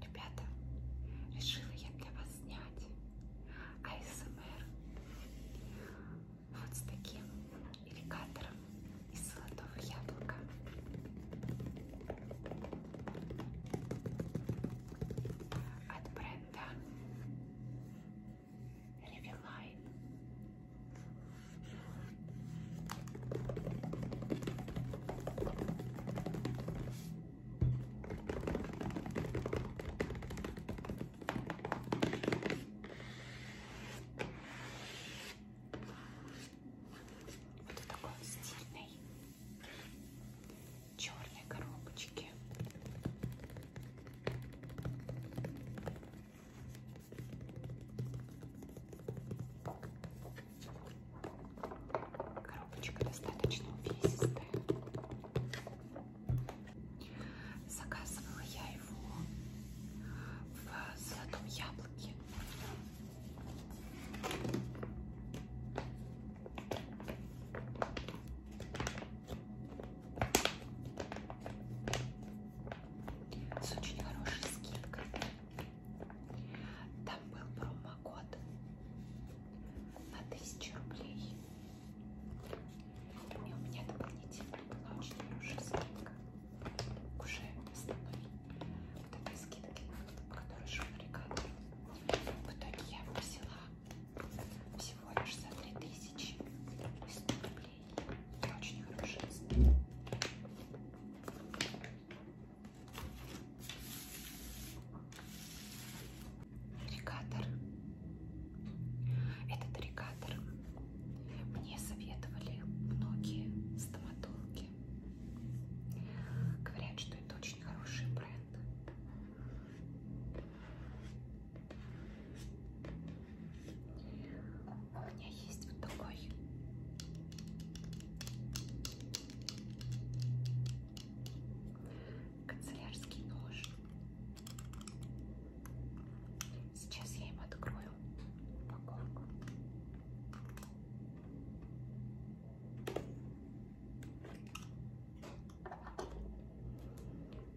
Ребята, решила я для вас снять АСМР вот с таким ирригатором из золотого яблока. От бренда Ревелайн. Вот в такой стильной черной коробочке. Коробочка достаточно увесистая. Заказывала я его в золотом яблоке. С очень хорошей скидкой. Там был промокод на 1000 рублей. И у меня дополнительно была очень хорошая скидка. Уже основной вот этой скидки, по которой шел регатор. В итоге я его взяла всего лишь за 3000 и 100 рублей. Это очень хорошая цена. Ирригатор. Этот ирригатор мне советовали многие стоматологи. Говорят, что это очень хороший бренд. У меня есть вот такой канцелярский нож. Сейчас я им открою упаковку.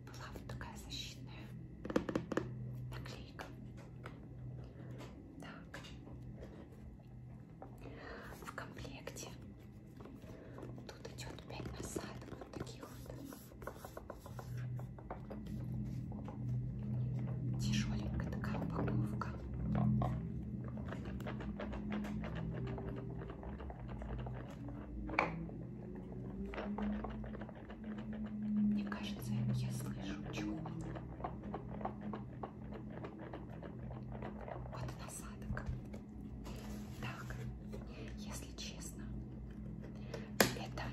Была вот такая защитная наклейка. Так, в комплекте тут идет 5 насадок вот таких вот. Тяжеленькая такая упаковка. Мне кажется, я слышу чего-то. Вот и насадок. Так, если честно, это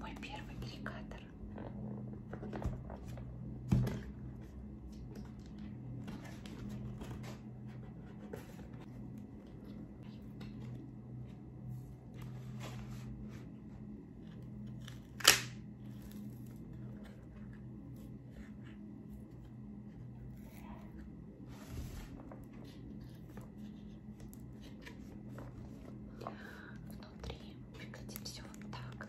мой первый кликатор. Внутри выглядит все вот так.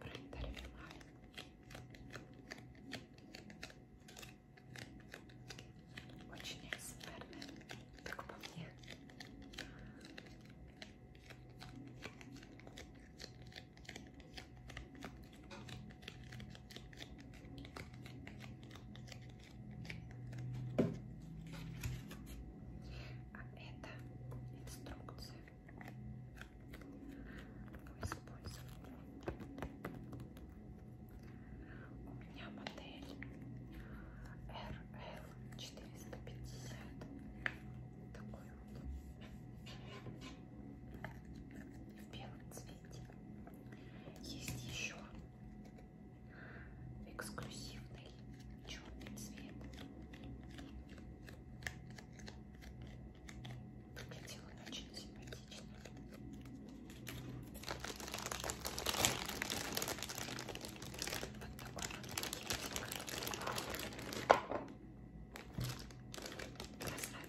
Пролетарий Вермахт. Очень экспертный, как по мне. А это инструкция у меня модель RL450. Такой вот. В белом цвете. Есть еще эксклюзивный черный цвет. Выглядел он очень симпатично. Вот такой вот Красавчик.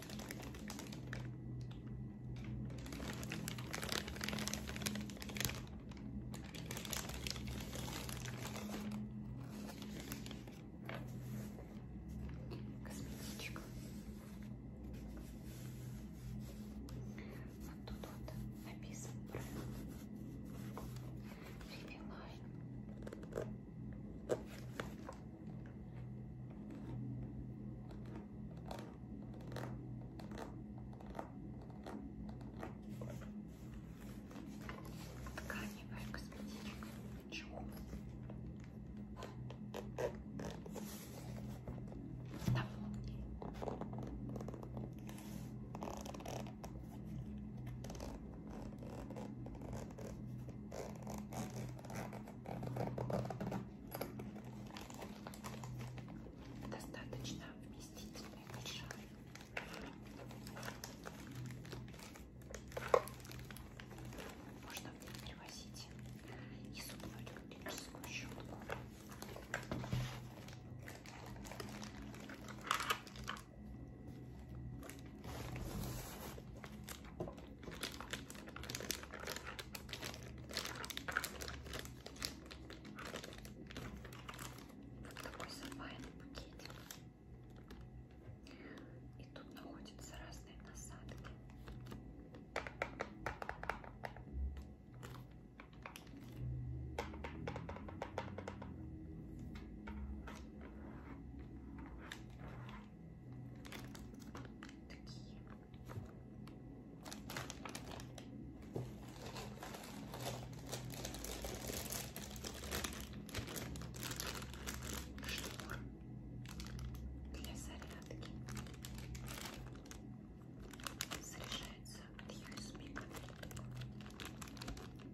Косметичка. Вот тут вот написан бренд. Ревилайн. Вот Тканевая косметичка. Чего? Там молния достаточно вместительный шар. Можно в них привозить и зубную электрическую щетку. Такой сапайный букетик. И тут находятся разные насадки. Такие штук для зарядки. Заряжается от USB конфеток. Такая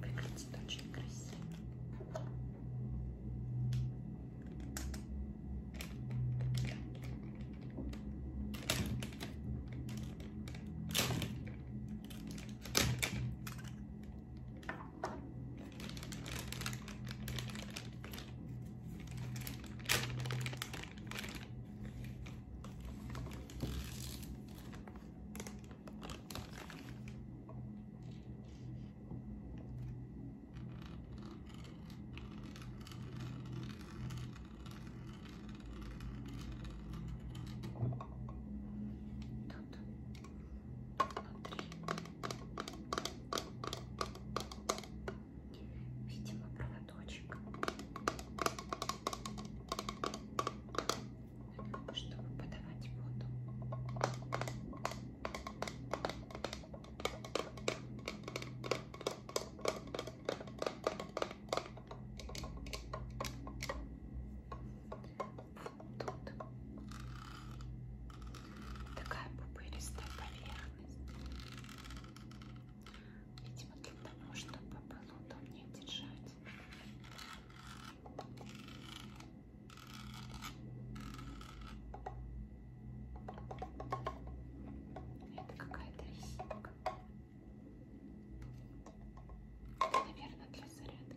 Выглядит очень красиво. Видимо, проводочек чтобы подавать воду. Вот тут такая пупыристая поверхность. Видимо, для того, чтобы было удобнее держать. Это какая-то резинка. Это, наверное, для зарядки.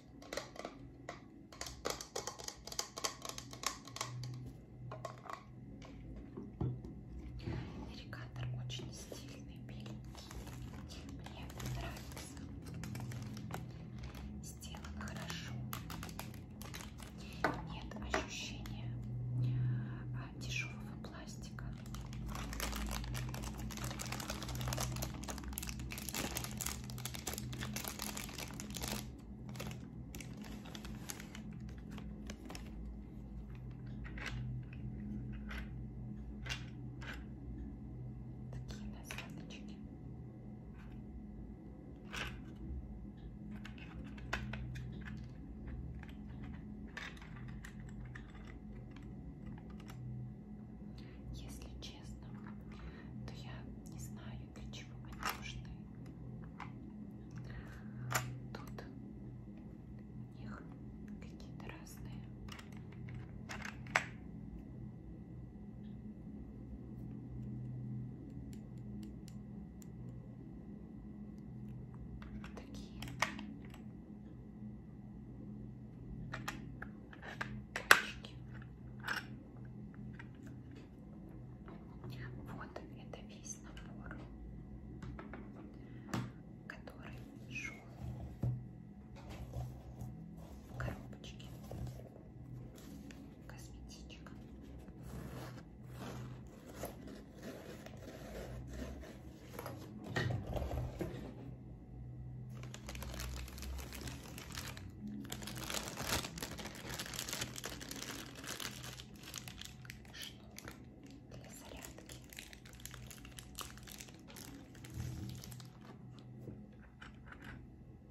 Ирригатор очень стильный, беленький. Мне нравится. Сделано хорошо. Нет ощущения тяжелого а, пластика. Такие насадочки. Такие если честно, то я не знаю, для чего они нужны. Тут у них какие-то разные. Такие кончики. Вот это весь набор, который шел в коробочке. Косметичка. Шнур для зарядки.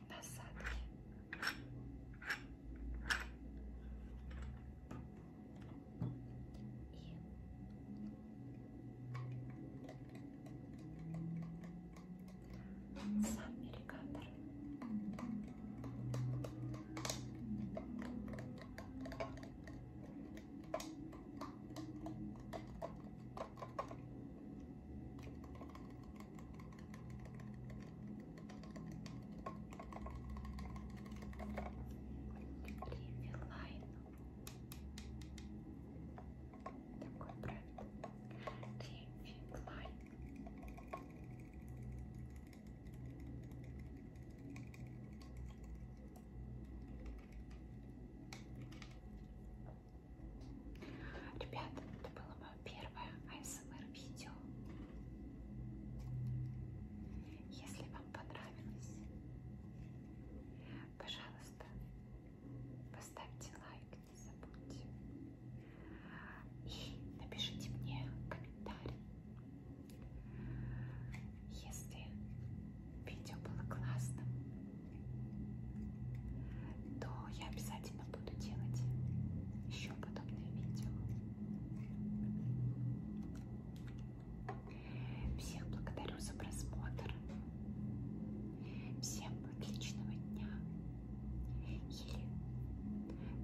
Насадки. И сам ирригатор. Ливилайн такой бренд Кимфи Клайн. Ребят, это было мое первое ASMR видео. Если вам понравилось, пожалуйста, Поставьте лайк, не забудьте. И напишите мне комментарий. Если видео было классным, то я обязательно буду делать еще подобные видео. Всех благодарю за просмотр. Всем отличного дня или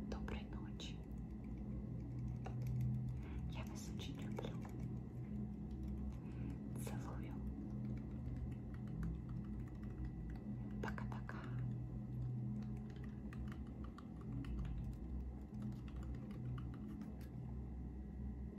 доброй ночи. Я вас очень люблю. Целую. Пока-пока.